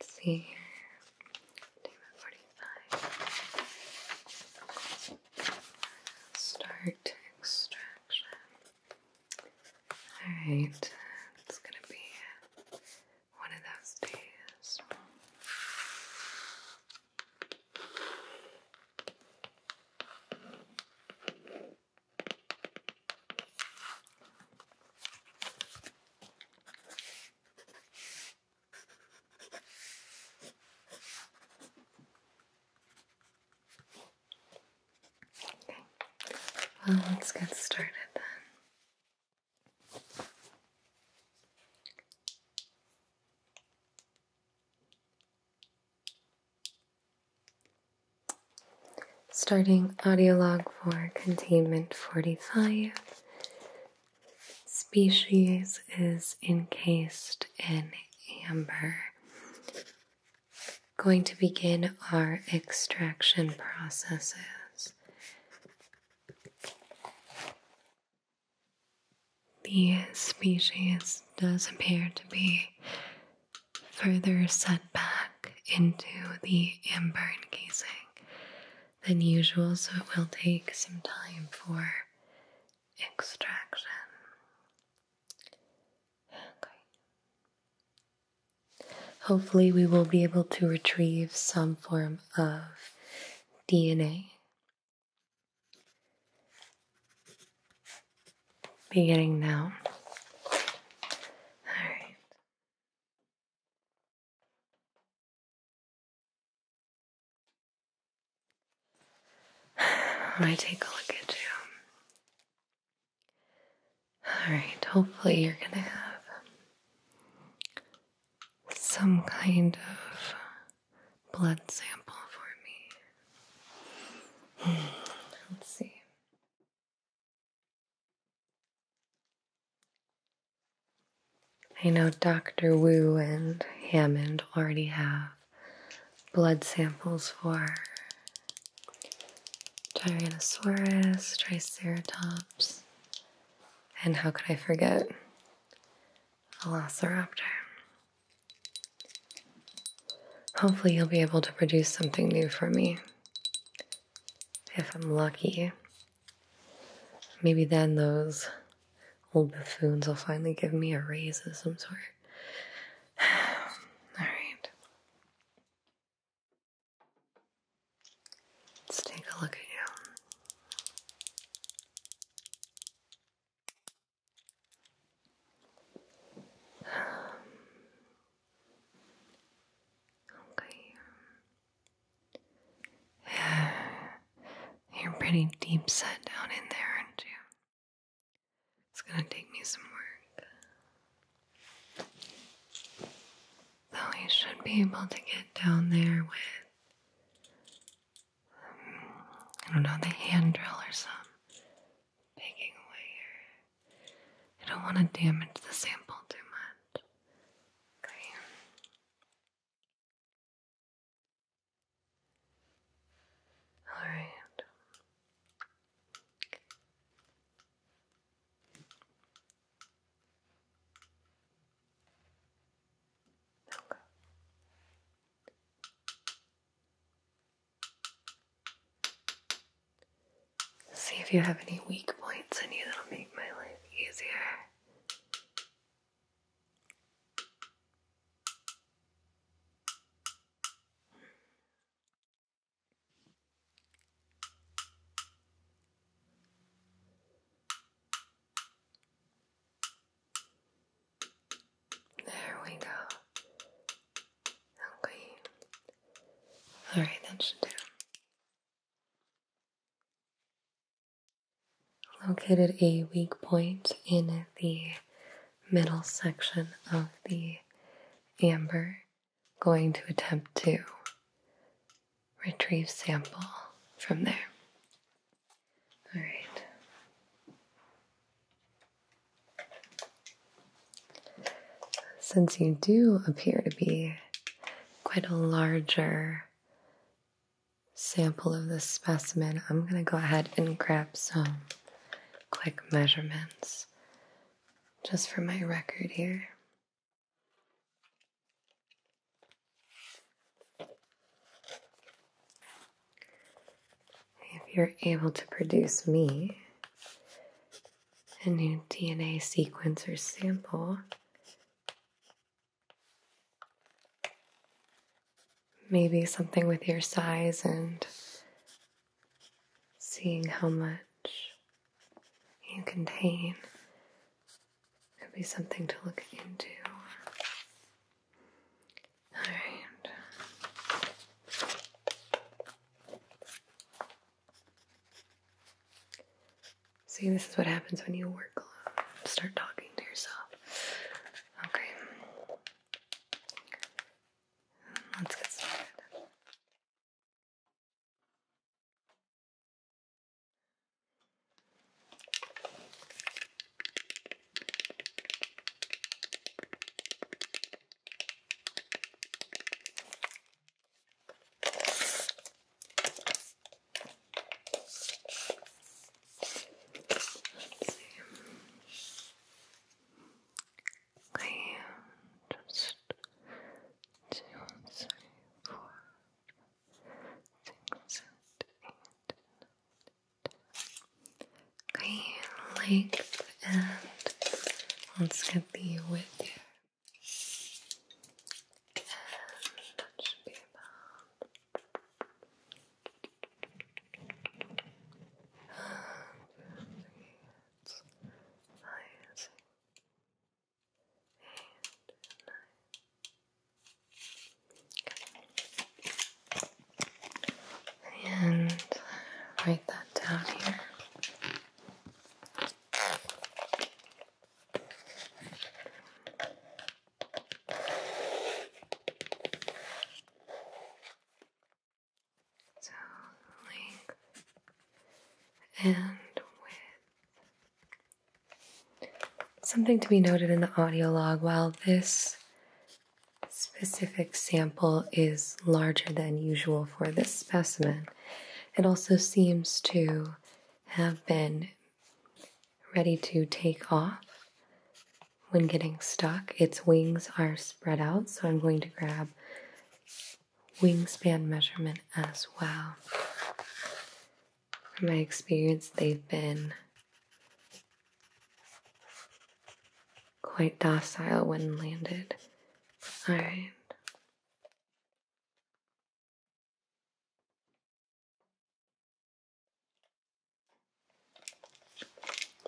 Let's see here. Table 45. Start extraction. Alright, it's gonna be one of those days. Okay, well, let's get started then. Starting audio log for containment 45. Species is encased in amber. Going to begin our extraction processes. The species does appear to be further set back into the amber casing than usual, so it will take some time for extraction. Hopefully, we will be able to retrieve some form of DNA. Beginning now. All right. I take a look at you. Alright, hopefully, you're gonna have some kind of blood sample for me. Hmm, let's see. I know Dr. Wu and Hammond already have blood samples for Tyrannosaurus, Triceratops, and how could I forget Velociraptor? Hopefully, you'll be able to produce something new for me. If I'm lucky, maybe then those old buffoons will finally give me a raise of some sort. Alright. Let's take a look at you. Okay. Um, you're pretty deep set down in there, aren't you? It's gonna take me some work. Though you should be able to get down there with, um, I don't know, the hand drill or some Taking away here. I don't want to damage the sample too much. Okay. Alright. Okay. See if you have any weak points in you that'll make my life easier. There we go. Okay. Alright, that should do. Located a weak point in the middle section of the amber. Going to attempt to retrieve sample from there. Alright. Since you do appear to be quite a larger sample of the specimen, I'm going to go ahead and grab some quick measurements just for my record here. If you're able to produce me a new DNA sequence or sample, maybe something with your size and seeing how much you contain could be something to look into. All right. See, this is what happens when you work alone. Start talking to yourself. Okay. Let's get started. I am just to say for things that ain't I like that. Let's go be with you. And that should be about it's nice And write that down here. So length and width. Something to be noted in the audio log while this specific sample is larger than usual for this specimen. It also seems to have been ready to take off when getting stuck. Its wings are spread out, so I'm going to grab wingspan measurement as well. From my experience, they've been quite docile when landed. All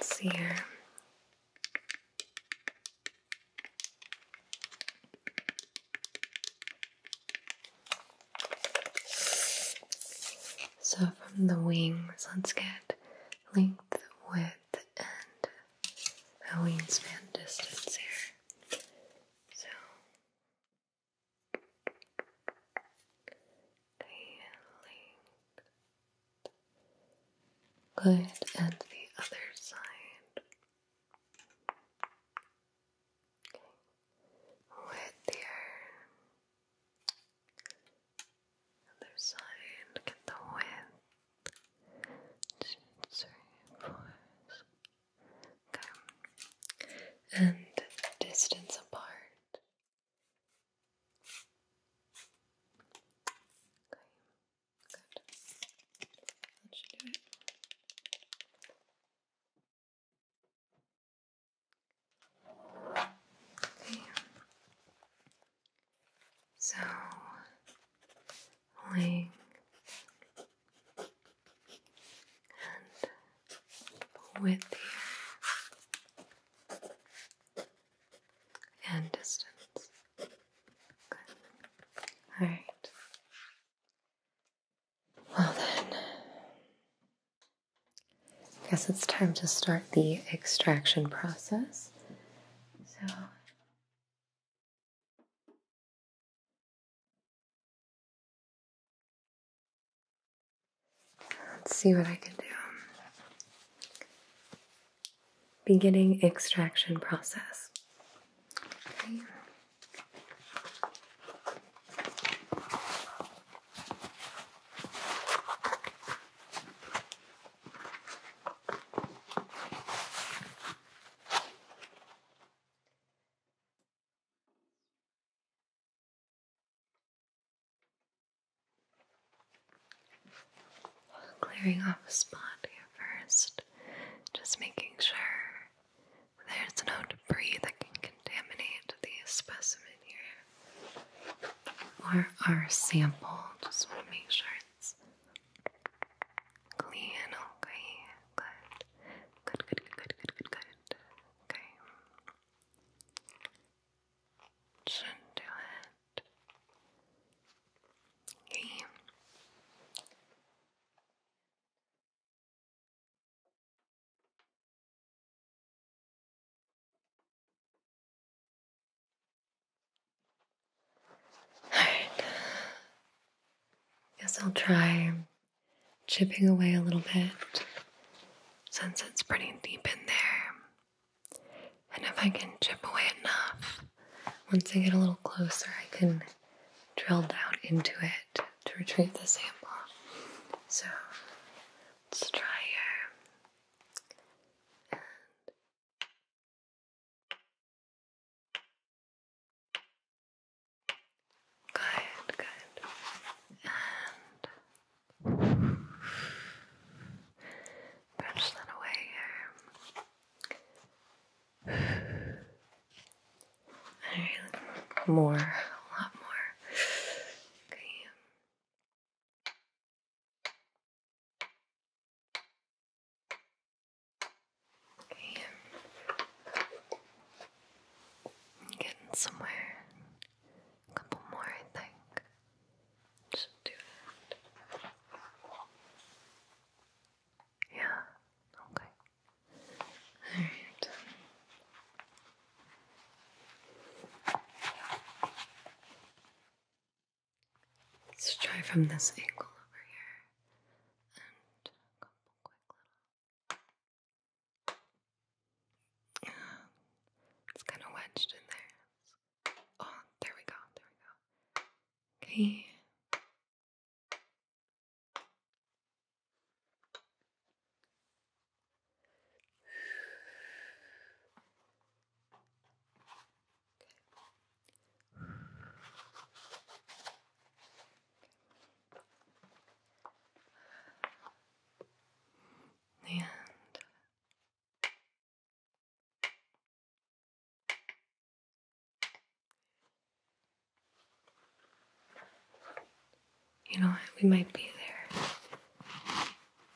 see here. So from the wings, let's get length, width, and a wingspan distance here. So the length and the other side. Okay. Width here. Other side, look the width. It's Okay. And distance apart. Okay. Good. That should do it. Okay. So, pulling and with the and distance. All right. Well then, I guess it's time to start the extraction process. So. Let's see what I can do. Beginning extraction process. Clearing off a spot here first, just making sure there's no debris that can contaminate the specimen here or our sample. Just want to make sure yours. Clean, okay, good. Good, good, good, good, good, good, Okay. should do it. Okay. Alright. Guess I'll try chipping away a little bit since it's pretty deep in there. And if I can chip away enough, once I get a little closer, I can drill down into it to retrieve the sample. So let's try here. Good, good. And brush that away more, a lot more. Okay. getting somewhere. A couple more, I think. Just do that. Yeah. Okay. All right. Let's try from this angle over here and it's kind of wedged in there. Oh, there we go. There we go. Okay. And you know what? We might be there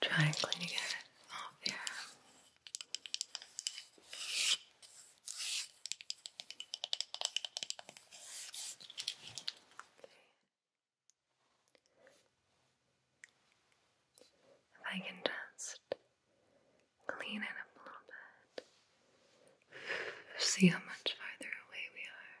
Try and clean it off here. If I can just clean it up a little bit, see how much farther away we are.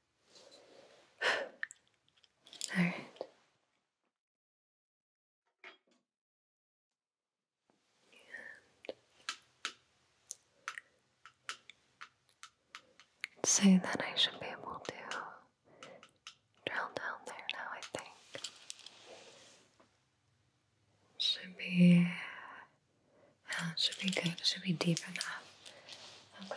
All right. And so I should be able to drill down there now, I think. Should be should be good. Should be deep enough. Okay.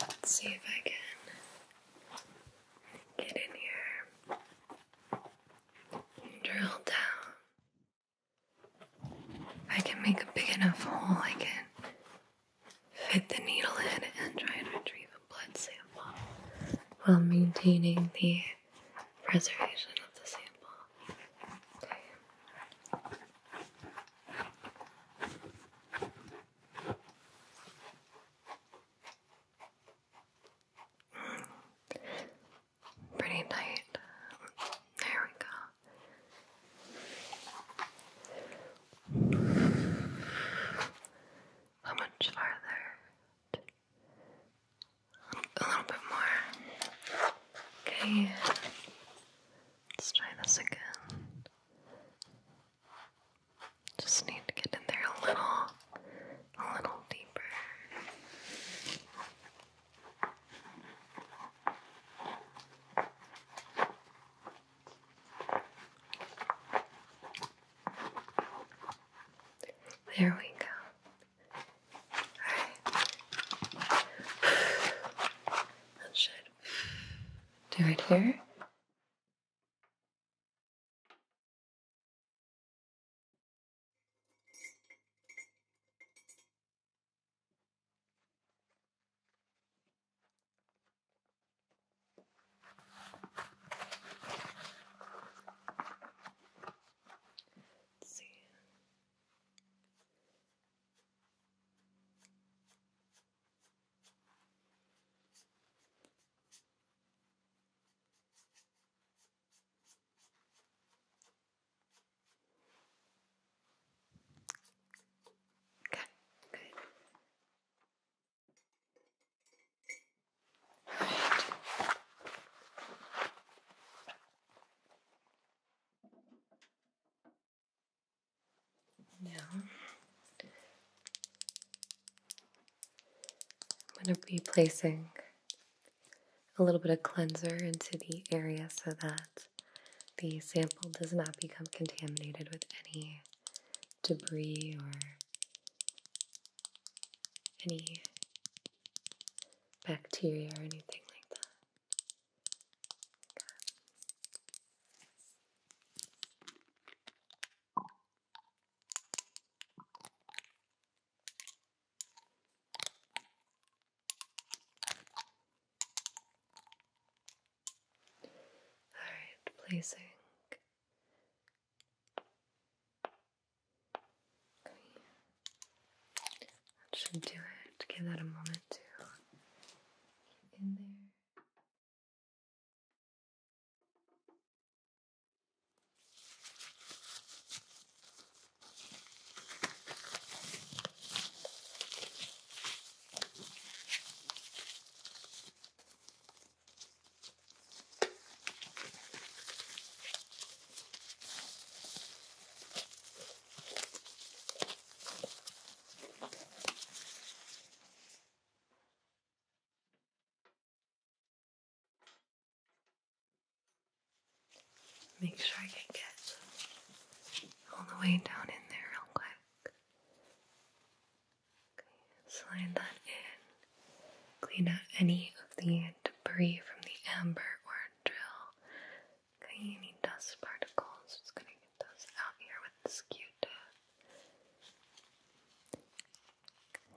Let's see if I can get in here drill down. I can make a big enough hole, I can fit the needle in and try to retrieve a blood sample while maintaining the preservation of the sample. Okay. Pretty tight. There we go. How much farther? A little bit more. Okay. Let's try this again. Just need to get in there a little, a little deeper. There we go. Alright. That should do it here. Let's see. Okay, good. Now I'm going to be placing a little bit of cleanser into the area so that the sample does not become contaminated with any debris or any bacteria or anything like that. Okay. All right, placing Okay. should do it. Give that a moment to get in there. Make sure I can get all the way down in there real quick. Okay, slide that in clean out any of the debris from the amber or drill. Okay, any dust particles, just gonna get those out here with the q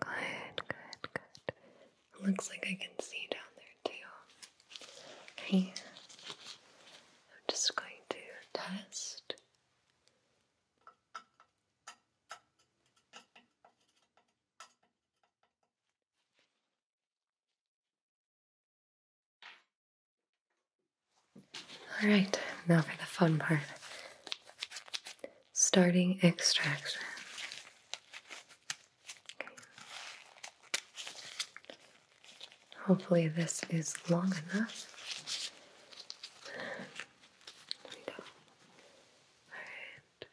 Good, good, good. Looks like I can see down there too. Okay, I'm just going to test. Alright, now for the fun part. Starting extraction. Hopefully, this is long enough. There we go. Alright.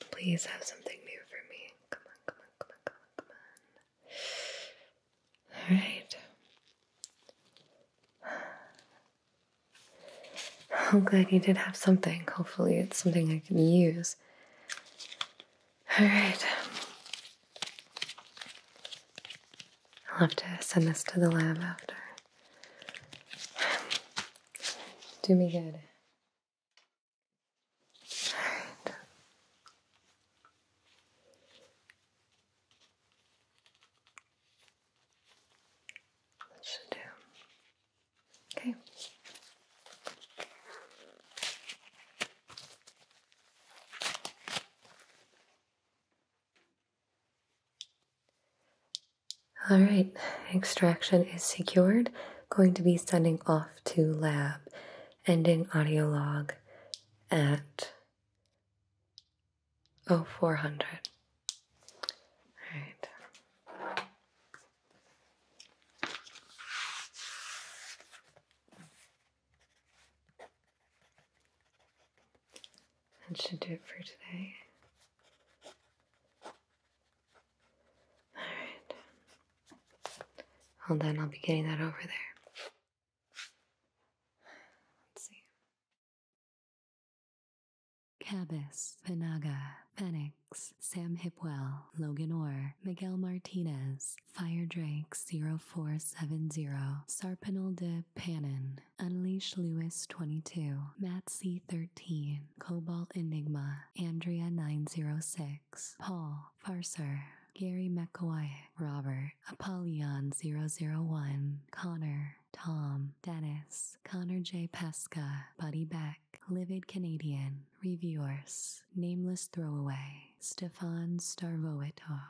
And please have something new for me. Come on, come on, come on, come on, come on. All right. I'm glad you did have something. Hopefully, it's something I can use. All right. I'll have to send this to the lab after. Do me good. should do. Okay. All right, extraction is secured. Going to be sending off to lab, ending audio log at oh four hundred. All right. That should do it for today. Alright. Well, then I'll be getting that over there. Let's see. Cabas, Panaga, Phoenix, Sam Hipwell, Logan Orr, Miguel Martinez, Fire Drake 0470, Sarpinal de Panin, Unleash Lewis 22, Matt C 13, Cobalt Enigma, Andrea 906, Paul, Farser, Gary McAway, Robert, Apollyon 001, Connor, Tom, Dennis, Connor J. Pesca, Buddy Beck, Livid Canadian, Reviewers, Nameless Throwaway, Stefan Starvoitov.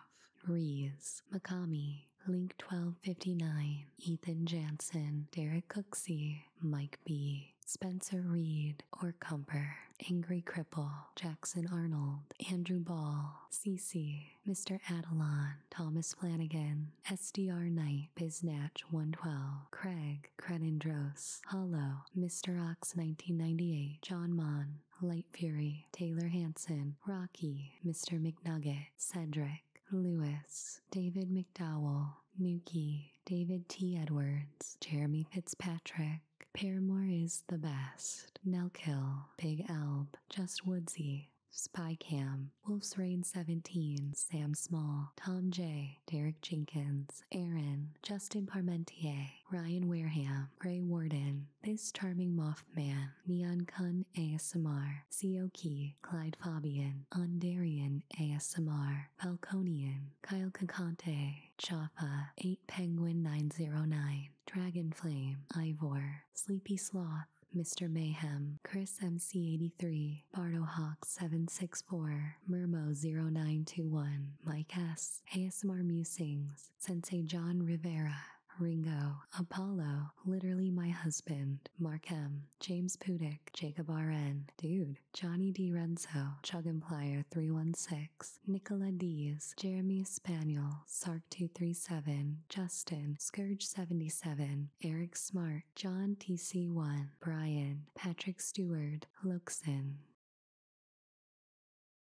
Rees, Macami, Link1259, Ethan Jansen, Derek Cooksey, Mike B, Spencer Reed, or Cumper, Angry Cripple, Jackson Arnold, Andrew Ball, CC, Mr. Adelon, Thomas Flanagan, SDR Knight, Biznatch112, Craig, Crenindros, Hollow, Mr. Ox1998, John Mon, Light Fury, Taylor Hanson, Rocky, Mr. McNugget, Cedric, Lewis, David McDowell, Nuki, David T. Edwards, Jeremy Fitzpatrick, Paramore is the best, Nelk Hill, Big Elb, Just Woodsy, Spy Cam, Wolf's Rain, 17, Sam Small, Tom J, Derek Jenkins, Aaron, Justin Parmentier, Ryan Wareham, Gray Warden, this charming Mothman, Neon Kun ASMR, Seoki, Clyde Fabian, Ondarian ASMR, Falconian, Kyle Kakante, Chapa, 8 Penguin 909, Dragon Flame, Ivor, Sleepy Sloth, Mr. Mayhem, Chris MC83, BardoHawk764, Murmo0921, Mike S, ASMR Musings, Sensei John Rivera, Ringo, Apollo, literally my husband, Markham, James Pudick, Jacob RN, Dude, Johnny D. Renzo, Chug and Player 316, Nicola Diaz, Jeremy Spaniel, Sark 237, Justin, Scourge 77, Eric Smart, John TC1, Brian, Patrick Stewart, Luxon,